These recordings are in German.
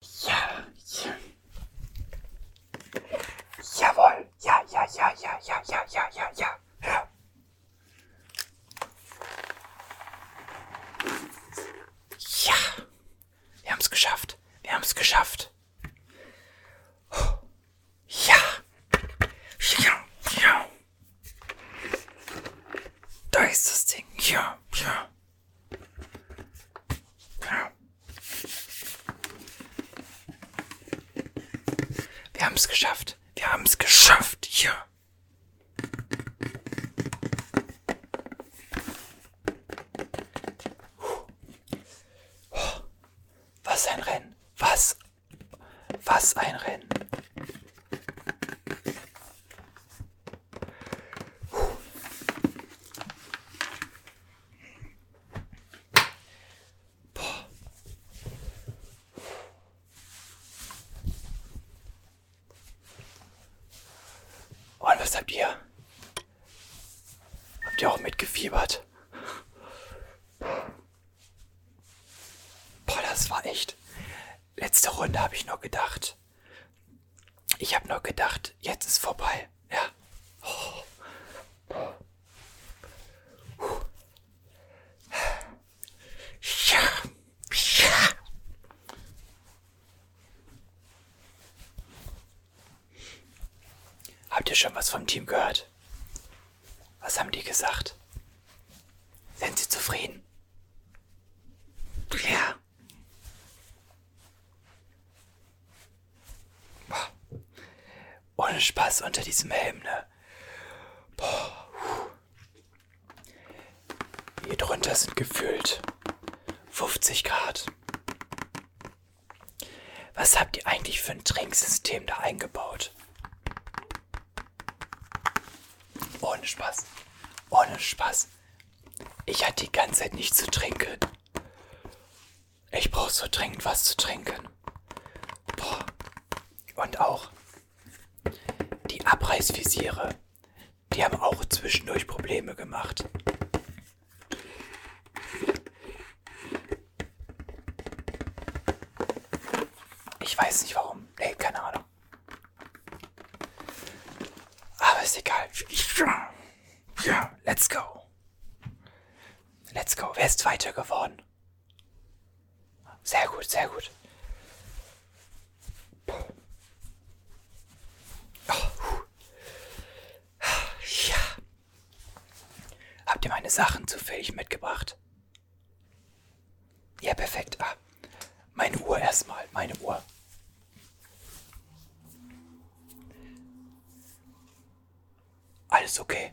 Ja, ja. Jawohl. Ja, ja, ja, ja, ja, ja, ja, ja, ja. ja. Ja, wir haben es geschafft. Wir haben es geschafft. Oh. Ja. Ja, ja. Da ist das Ding. Ja, ja. Ja. Wir haben es geschafft. Wir haben es geschafft. Ja. Oh, was ein Rennen. Was? Was ein Rennen. Und was habt ihr? Habt ihr auch mitgefiebert? Boah, das war echt. Letzte Runde habe ich noch gedacht. Ich habe nur gedacht, jetzt ist vorbei. Ja. Oh. Ja. Ja. Habt ihr schon was vom Team gehört? Was haben die gesagt? Sind sie zufrieden? Ja. Boah. Ohne Spaß unter diesem Helm, ne? Boah. Puh. Hier drunter sind gefühlt 50 Grad. Was habt ihr eigentlich für ein Trinksystem da eingebaut? Ohne Spaß. Ohne Spaß. Ich hatte die ganze Zeit nichts zu trinken. Ich brauche so dringend was zu trinken. Boah. Und auch die Abreißvisiere. Die haben auch zwischendurch Probleme gemacht. Ich weiß nicht warum. Nee, keine Ahnung. Aber ist egal. Ja. Let's go. Let's go. Wer ist Zweiter geworden? Sehr gut, sehr gut. Oh, ja. Habt ihr meine Sachen zufällig mitgebracht? Ja, perfekt. Ah, meine Uhr erstmal, meine Uhr. Alles okay.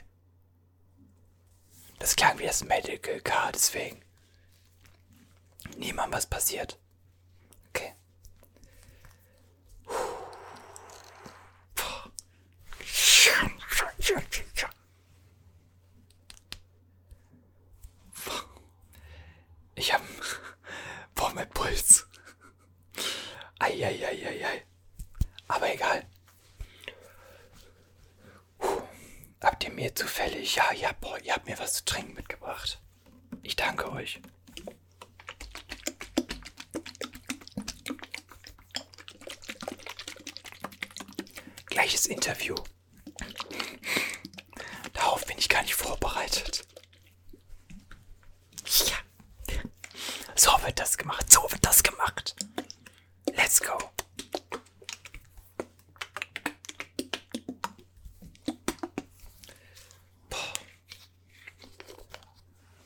Das klang wie das Medical Car, deswegen. Niemand was passiert. Okay. Ich habe Boah, mein Puls. Eieieiei. Aber egal. Puh. Habt ihr mir zufällig? Ja, ja, boah, ihr habt mir was zu trinken mitgebracht. Ich danke euch. Gleiches Interview. Darauf bin ich gar nicht vorbereitet. Ja. So wird das gemacht. So wird das gemacht. Let's go.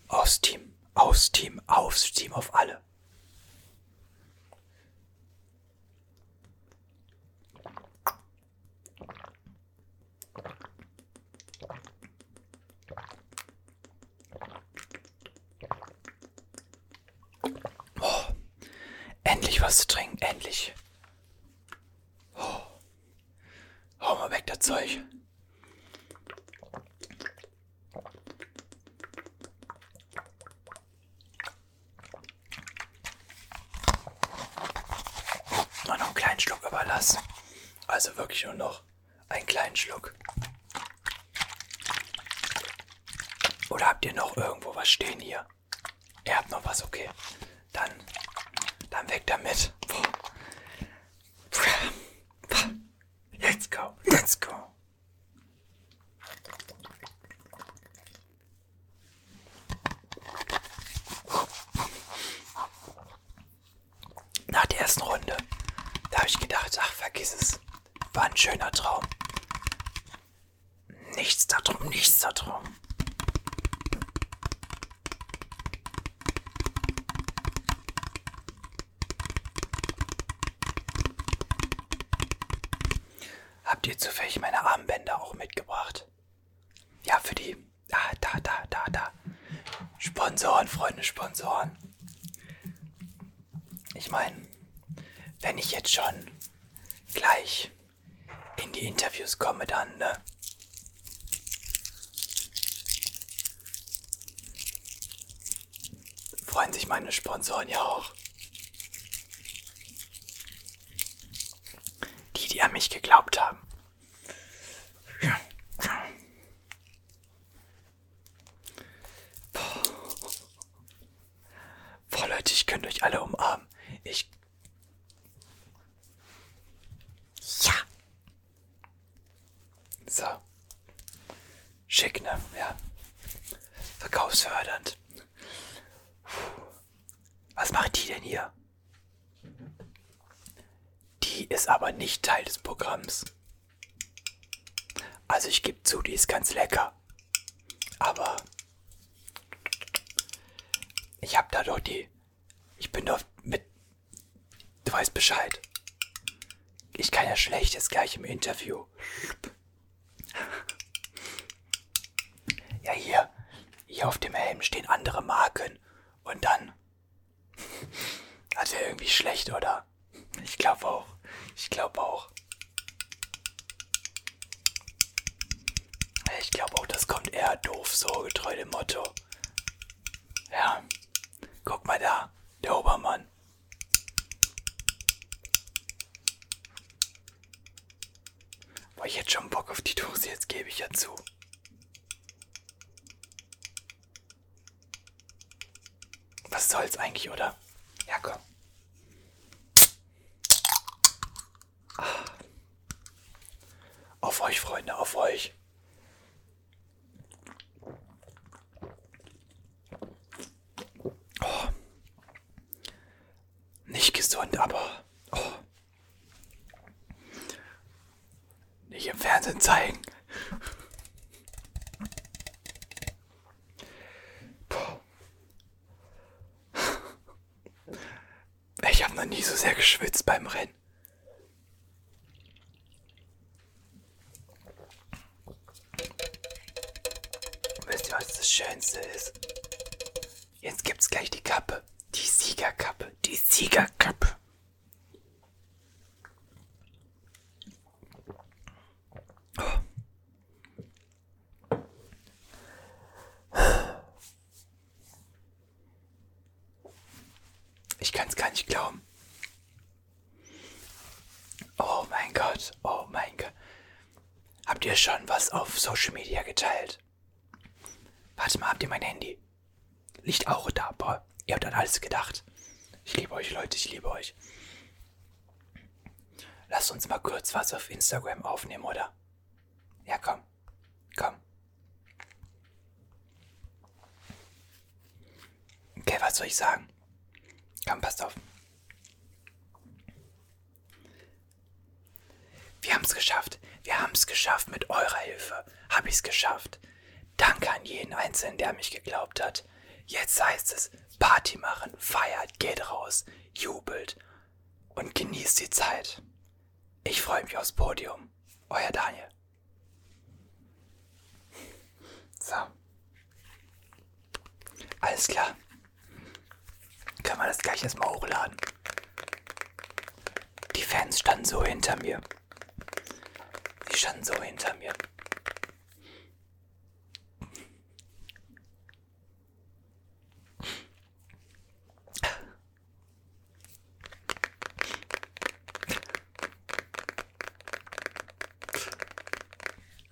Aus Team, aus Team, aufs Team auf alle. Oh, endlich was zu trinken, endlich. Oh. Hau mal weg, das Zeug. Noch einen kleinen Schluck überlassen. Also wirklich nur noch einen kleinen Schluck. Oder habt ihr noch irgendwo was stehen hier? Ihr habt noch was, okay. Dann, dann weg damit. Let's go, let's go nach der ersten Runde, da habe ich gedacht, ach, vergiss es. War ein schöner Traum. Nichts darum, nichts darum. Habt ihr zufällig meine Armbänder auch mitgebracht? Ja, für die da, da, da, da, da. Sponsoren, Freunde, Sponsoren. Ich meine, wenn ich jetzt schon gleich in die Interviews komme, dann, ne? Freuen sich meine Sponsoren ja auch. Die, die an mich geglaubt haben. Ja. Boah. Boah, Leute, ich könnte euch alle umarmen. Ich. Ja. So. Schick, ne? Ja. Verkaufsfördernd. Was macht die denn hier? Die ist aber nicht Teil des Programms. Also ich gebe zu, die ist ganz lecker. Aber ich habe da doch die... Ich bin doch mit... Du weißt Bescheid. Ich kann ja schlecht jetzt gleich im Interview. Ja, hier. Hier auf dem Helm stehen andere Marken. Und dann also irgendwie schlecht, oder? Ich glaube auch. Ich glaube auch. Ich glaube auch, das kommt eher doof, so getreu dem Motto. Ja, guck mal da, der Obermann. Boah, ich hätte schon Bock auf die Dose, jetzt gebe ich ja zu. Was soll's eigentlich, oder? Ja, komm. Ah. Auf euch, Freunde, auf euch. Oh. Nicht gesund, aber oh. Nicht im Fernsehen zeigen. Ich habe noch nie so sehr geschwitzt beim Rennen. Wisst ihr, was das Schönste ist? Jetzt gibt's gleich die Kappe. Die Siegerkappe. Die Siegerkappe. Ich kann es gar nicht glauben. Oh mein Gott, oh mein Gott. Habt ihr schon was auf Social Media geteilt? Warte mal, habt ihr mein Handy? Liegt auch da. Boah, ihr habt an alles gedacht. Ich liebe euch, Leute, ich liebe euch. Lasst uns mal kurz was auf Instagram aufnehmen, oder? Ja, komm. Komm. Okay, was soll ich sagen? Komm, passt auf. Wir haben es geschafft. Wir haben es geschafft mit eurer Hilfe. Hab ich's geschafft. Danke an jeden Einzelnen, der mich geglaubt hat. Jetzt heißt es Party machen, feiert, geht raus, jubelt und genießt die Zeit. Ich freue mich aufs Podium. Euer Daniel. So. Alles klar. Können wir das gleich erstmal hochladen. Die Fans standen so hinter mir. Die standen so hinter mir.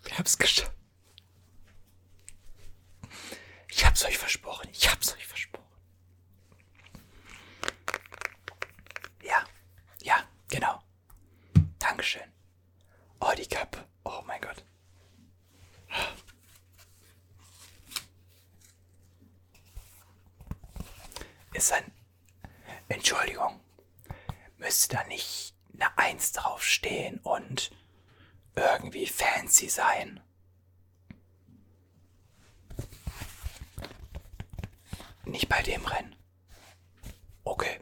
Wir haben es geschafft. Ich hab's euch versprochen. Ich hab's euch versprochen. Ja, ja, genau. Dankeschön. Oh, die Kappe. Oh mein Gott. Ist ein... Entschuldigung. Müsste da nicht eine Eins draufstehen und irgendwie fancy sein? Nicht bei dem Rennen. Okay.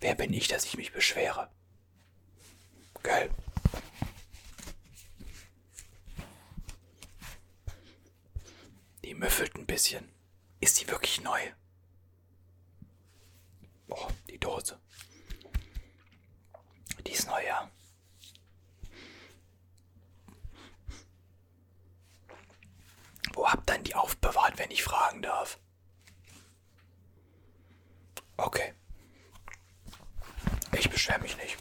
Wer bin ich, dass ich mich beschwere? Gell? Die müffelt ein bisschen. Ist sie wirklich neu? Oh, die Dose. Die ist neu, ja. Wo habt ihr denn die aufbewahrt, wenn ich fragen darf? Okay. Ich beschwere mich nicht.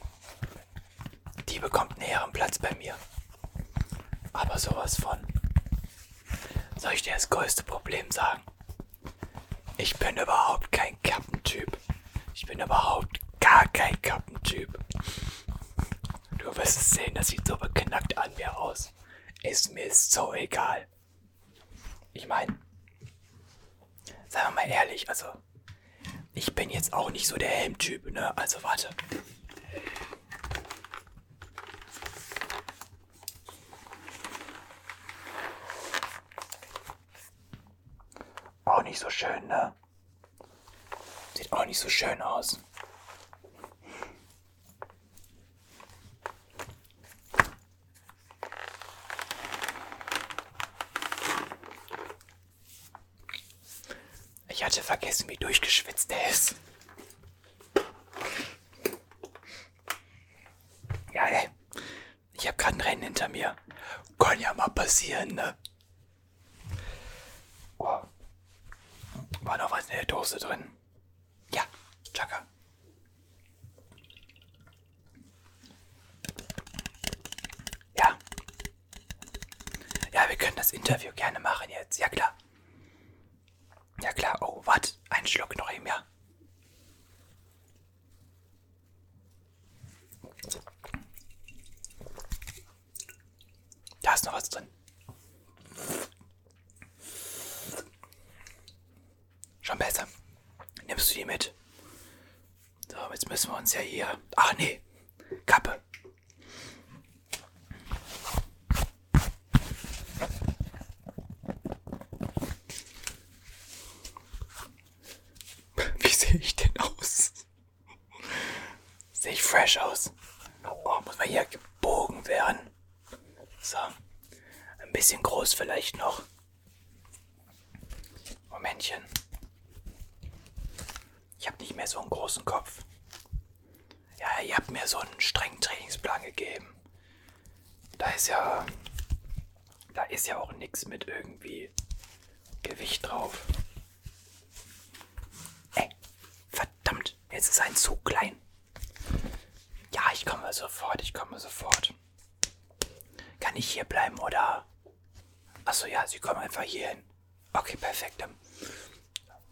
Die bekommt näheren Platz bei mir. Aber sowas von. Soll ich dir das größte Problem sagen? Ich bin überhaupt kein Kappentyp. Ich bin überhaupt gar kein Kappentyp. Du wirst es sehen, das sieht so beknackt an mir aus. Ist mir so egal. Ich meine, sagen wir mal ehrlich, also ich bin jetzt auch nicht so der Helmtyp, ne? Also warte. Auch nicht so schön, ne? Sieht auch nicht so schön aus. Ich hatte vergessen, wie durchgeschwitzt er ist. Ja, ey. Ich habe gerade ein Rennen hinter mir. Kann ja mal passieren, ne? Oh. War noch was in der Dose drin? Ja, Chaka. Ja. Ja, wir können das Interview gerne machen jetzt. Ja, klar. Ja, klar. Oh, warte. Einen Schluck noch eben, ja. Da ist noch was drin. Schon besser. Nimmst du die mit? So, jetzt müssen wir uns ja hier. Ach nee, Kappe. Wie sehe ich denn aus? Sehe ich fresh aus. Oh, muss man hier gebogen werden. So. Ein bisschen groß vielleicht noch. Momentchen. Ich habe nicht mehr so einen großen Kopf. Ja, ihr habt mir so einen strengen Trainingsplan gegeben. Da ist ja. Da ist ja auch nichts mit irgendwie Gewicht drauf. Ey, verdammt, jetzt ist ein Zug klein. Ja, ich komme sofort, ich komme sofort. Kann ich hier bleiben oder? Achso, ja, sie kommen einfach hier hin. Okay, perfekt. Dann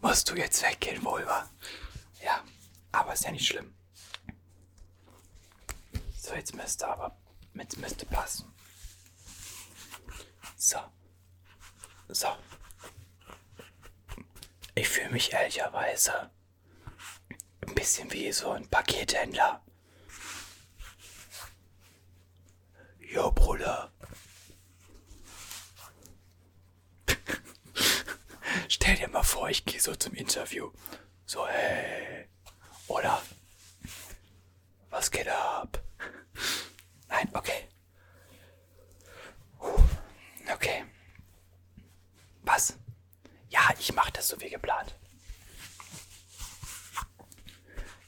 musst du jetzt weggehen, worüber? Ja, aber ist ja nicht schlimm. So, jetzt müsste aber, jetzt müsste passen. So, so. Ich fühle mich ehrlicherweise ein bisschen wie so ein Pakethändler. Jo, Bruder. Stell dir mal vor, ich gehe so zum Interview. So, hey. Oder? Was geht ab? Nein, okay. Okay. Was? Ja, ich mache das so wie geplant.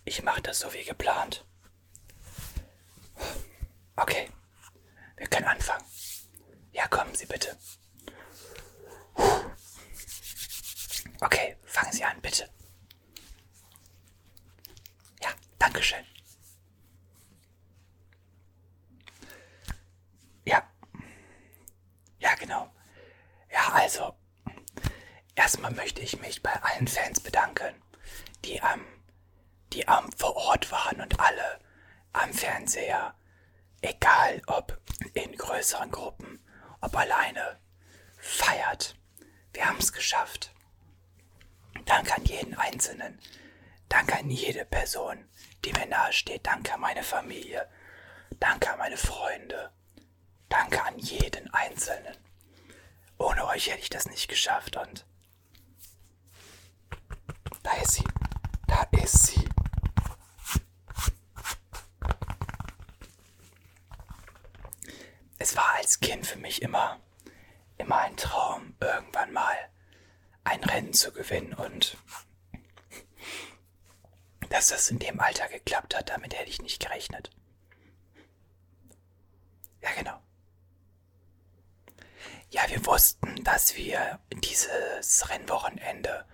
Ich mache das so wie geplant. Okay. Wir können anfangen. Ja, kommen Sie bitte. Okay, fangen Sie an, bitte. Ja, Dankeschön. Ja. Ja, genau. Ja, also. Erstmal möchte ich mich bei allen Fans bedanken, die am, ähm, die am ähm, vor Ort waren und alle am Fernseher, egal ob in größeren Gruppen, ob alleine, feiert wir haben es geschafft. Danke an jeden Einzelnen. Danke an jede Person, die mir nahesteht. Danke an meine Familie. Danke an meine Freunde. Danke an jeden Einzelnen. Ohne euch hätte ich das nicht geschafft und... Da ist sie. Da ist sie. Es war als Kind für mich immer immer ein Traum, irgendwann mal ein Rennen zu gewinnen. Und dass das in dem Alter geklappt hat, damit hätte ich nicht gerechnet. Ja, genau. Ja, wir wussten, dass wir dieses Rennwochenende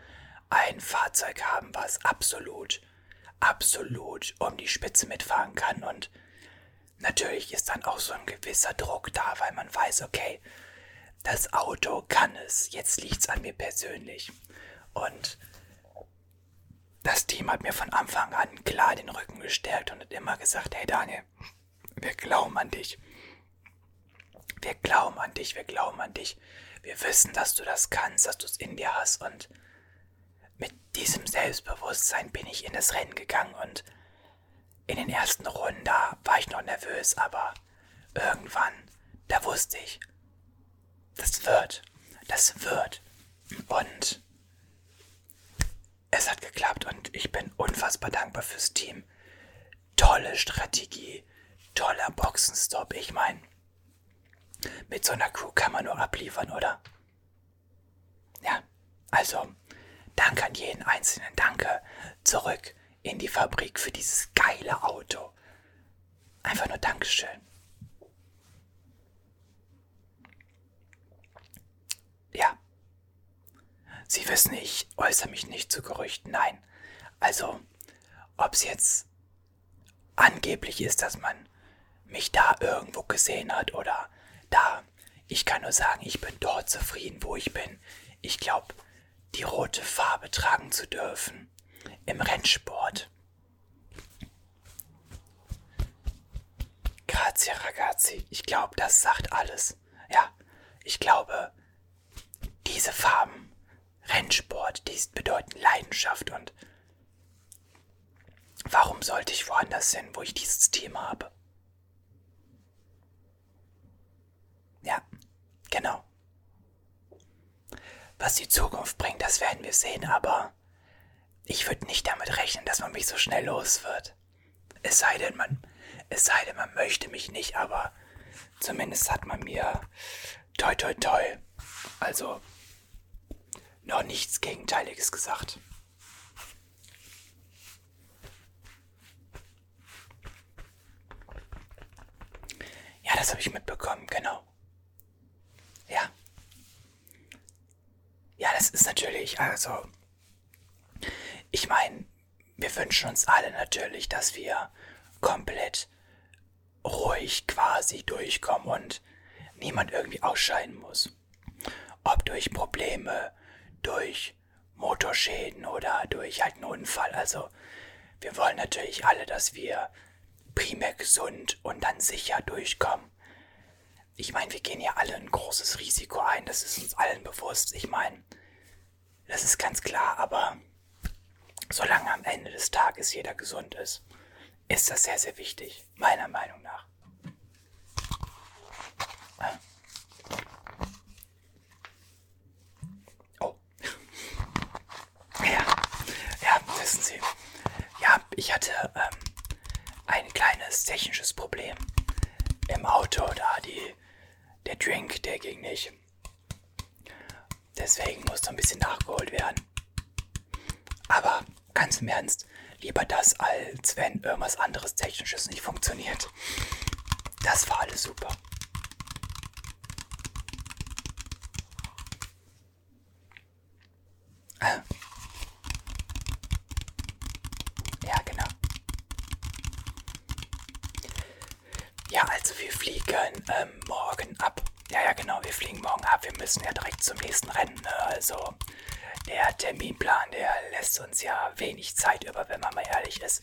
ein Fahrzeug haben, was absolut, absolut um die Spitze mitfahren kann. Und Natürlich ist dann auch so ein gewisser Druck da, weil man weiß, okay, das Auto kann es. Jetzt liegt's an mir persönlich. Und das Team hat mir von Anfang an klar den Rücken gestärkt und hat immer gesagt, hey Daniel, wir glauben an dich. Wir glauben an dich, wir glauben an dich. Wir wissen, dass du das kannst, dass du es in dir hast und mit diesem Selbstbewusstsein bin ich in das Rennen gegangen und in den ersten Runden da war ich noch nervös, aber irgendwann, da wusste ich, das wird, das wird. Und es hat geklappt und ich bin unfassbar dankbar fürs Team. Tolle Strategie, toller Boxenstopp. Ich meine, mit so einer Crew kann man nur abliefern, oder? Ja, also danke an jeden einzelnen. Danke zurück in die Fabrik für dieses geile Auto. Einfach nur Dankeschön. Ja. Sie wissen, ich äußere mich nicht zu Gerüchten. Nein. Also, ob es jetzt angeblich ist, dass man mich da irgendwo gesehen hat oder da ja, ich kann nur sagen, ich bin dort zufrieden, wo ich bin. Ich glaube, die rote Farbe tragen zu dürfen im Rennsport. Grazie ragazzi, ich glaube, das sagt alles. Ja, ich glaube, diese Farben, Rennsport, die bedeuten Leidenschaft und Warum sollte ich woanders hin, wo ich dieses Thema habe? Ja, genau. Was die Zukunft bringt, das werden wir sehen, aber ich würde nicht damit rechnen, dass man mich so schnell los wird. Es sei denn, man, es sei denn, man möchte mich nicht, aber zumindest hat man mir toi toi toi. Also noch nichts Gegenteiliges gesagt. Ja, das habe ich mitbekommen, genau. Ja. Ja, das ist natürlich, also, ich meine, wir wünschen uns alle natürlich, dass wir komplett ruhig quasi durchkommen und niemand irgendwie ausscheiden muss. Ob durch Probleme, durch Motorschäden oder durch halt einen Unfall. Also wir wollen natürlich alle, dass wir primär gesund und dann sicher durchkommen. Ich meine, wir gehen ja alle ein großes Risiko ein, das ist uns allen bewusst. Ich meine, das ist ganz klar, aber solange am Ende des Tages jeder gesund ist, ist das sehr, sehr wichtig meiner Meinung nach. Ah. Oh. Ja, ja, wissen Sie. Ja, ich hatte ähm, ein kleines technisches Problem im Auto, da die, der Drink, der ging nicht. Deswegen musste ein bisschen nachgeholt werden. Aber Ganz im Ernst. Lieber das, als wenn irgendwas anderes Technisches nicht funktioniert. Das war alles super. Ah. Ja, genau. Ja, also wir fliegen ähm, morgen ab. Ja, ja, genau, wir fliegen morgen ab. Wir müssen ja direkt zum nächsten Rennen. Ne? Also, der Terminplan, der lässt uns ja wenig Zeit über, wenn man mal ehrlich ist.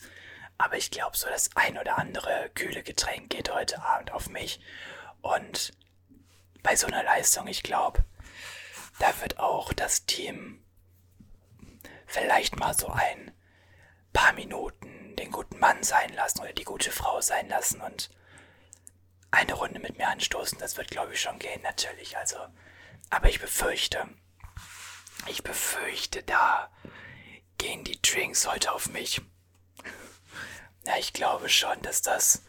Aber ich glaube, so das ein oder andere kühle Getränk geht heute Abend auf mich. Und bei so einer Leistung, ich glaube, da wird auch das Team vielleicht mal so ein paar Minuten den guten Mann sein lassen oder die gute Frau sein lassen und eine Runde mit mir anstoßen. Das wird, glaube ich, schon gehen, natürlich. Also Sache. Aber ich befürchte, ich befürchte, da gehen die Drinks heute auf mich. Ja, ich glaube schon, dass das,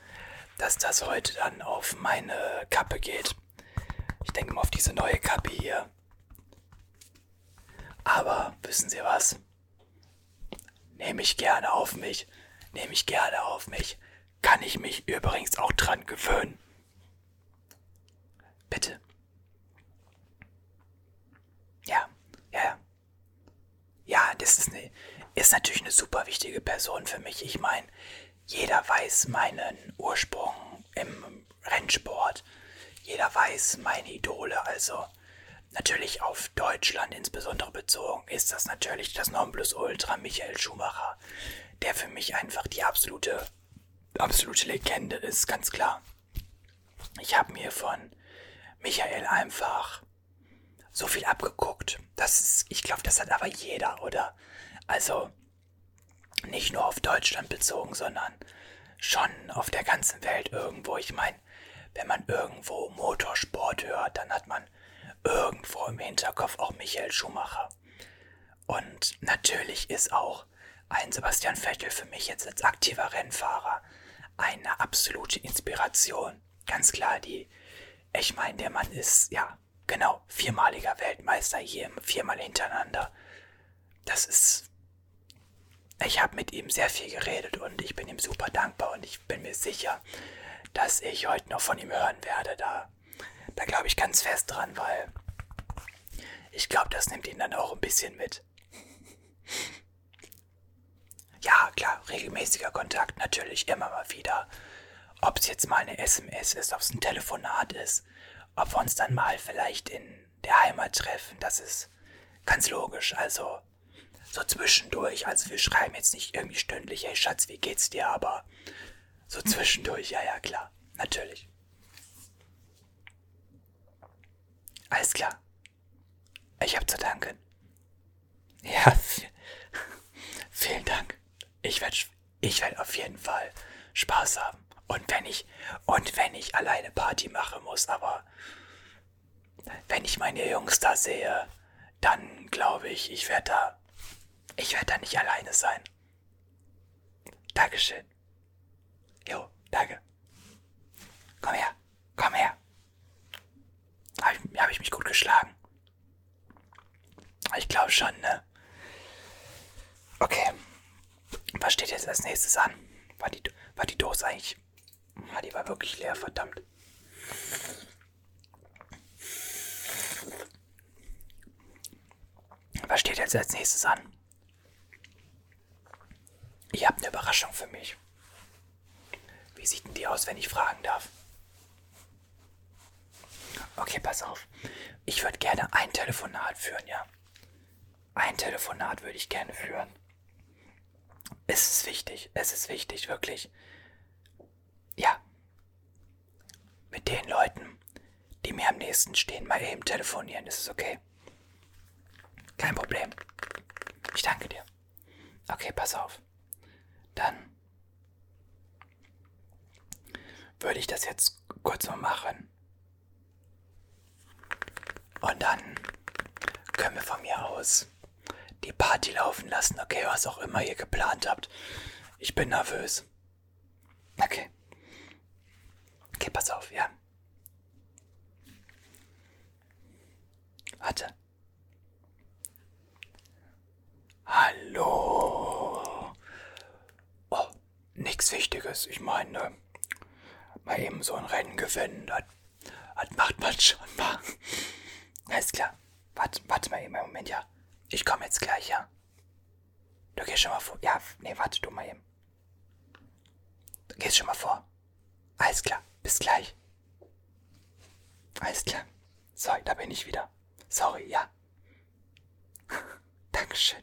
dass das heute dann auf meine Kappe geht. Ich denke mal auf diese neue Kappe hier. Aber wissen Sie was? Nehme ich gerne auf mich. Nehme ich gerne auf mich. Kann ich mich übrigens auch dran gewöhnen. Bitte. Ja, ja, ja. Ja, das ist, eine, ist natürlich eine super wichtige Person für mich. Ich meine, jeder weiß meinen Ursprung im Rennsport. Jeder weiß meine Idole. Also natürlich auf Deutschland insbesondere bezogen ist das natürlich das Nonplusultra Michael Schumacher der für mich einfach die absolute, absolute Legende ist, ganz klar. Ich habe mir von Michael einfach so viel abgeguckt. Das ist, ich glaube, das hat aber jeder, oder? Also nicht nur auf Deutschland bezogen, sondern schon auf der ganzen Welt irgendwo. Ich meine, wenn man irgendwo Motorsport hört, dann hat man irgendwo im Hinterkopf auch Michael Schumacher. Und natürlich ist auch ein Sebastian Vettel für mich jetzt als aktiver Rennfahrer eine absolute Inspiration. Ganz klar, die, ich meine, der Mann ist, ja, genau, viermaliger Weltmeister hier, viermal hintereinander. Das ist, ich habe mit ihm sehr viel geredet und ich bin ihm super dankbar und ich bin mir sicher, dass ich heute noch von ihm hören werde. Da da glaube ich ganz fest dran, weil ich glaube, das nimmt ihn dann auch ein bisschen mit. Ja, klar, regelmäßiger Kontakt natürlich immer mal wieder. Ob es jetzt mal eine SMS ist, ob es ein Telefonat ist, ob wir uns dann mal vielleicht in der Heimat treffen, das ist ganz logisch. Also so zwischendurch, also wir schreiben jetzt nicht irgendwie stündlich, hey Schatz, wie geht's dir, aber so zwischendurch, ja, ja, klar. Natürlich. Alles klar. Ich habe zu danken. Ja, vielen Dank. Ich werde ich werd auf jeden Fall Spaß haben. Und wenn ich, und wenn ich alleine Party machen muss, aber wenn ich meine Jungs da sehe, dann glaube ich, ich werde da, ich werde da nicht alleine sein. Dankeschön. Jo, danke. Komm her, komm her. Habe ich, hab ich mich gut geschlagen? Ich glaube schon, ne? Okay. Was steht jetzt als nächstes an? War die, war die Dose eigentlich. Ja, die war wirklich leer, verdammt. Was steht jetzt als nächstes an? Ich habe eine Überraschung für mich. Wie sieht denn die aus, wenn ich fragen darf? Okay, pass auf. Ich würde gerne ein Telefonat führen, ja. Ein Telefonat würde ich gerne führen. Es ist wichtig, es ist wichtig, wirklich. Ja mit den Leuten, die mir am nächsten stehen, mal eben telefonieren. Ist es okay? Kein Problem. Ich danke dir. Okay, pass auf. Dann würde ich das jetzt kurz mal machen. Und dann können wir von mir aus die Party laufen lassen, okay, was auch immer ihr geplant habt. Ich bin nervös. Okay. Okay, pass auf, ja. Warte. Hallo. Oh, nichts Wichtiges. Ich meine, ne, mal eben so ein Rennen gewinnen, das, das macht man schon mal. Alles klar. Warte, warte mal eben einen Moment, ja. Ich komme jetzt gleich, ja. Du gehst schon mal vor. Ja, nee, warte du mal eben. Du gehst schon mal vor. Alles klar, bis gleich. Alles klar. So, da bin ich wieder. Sorry, ja. Dankeschön.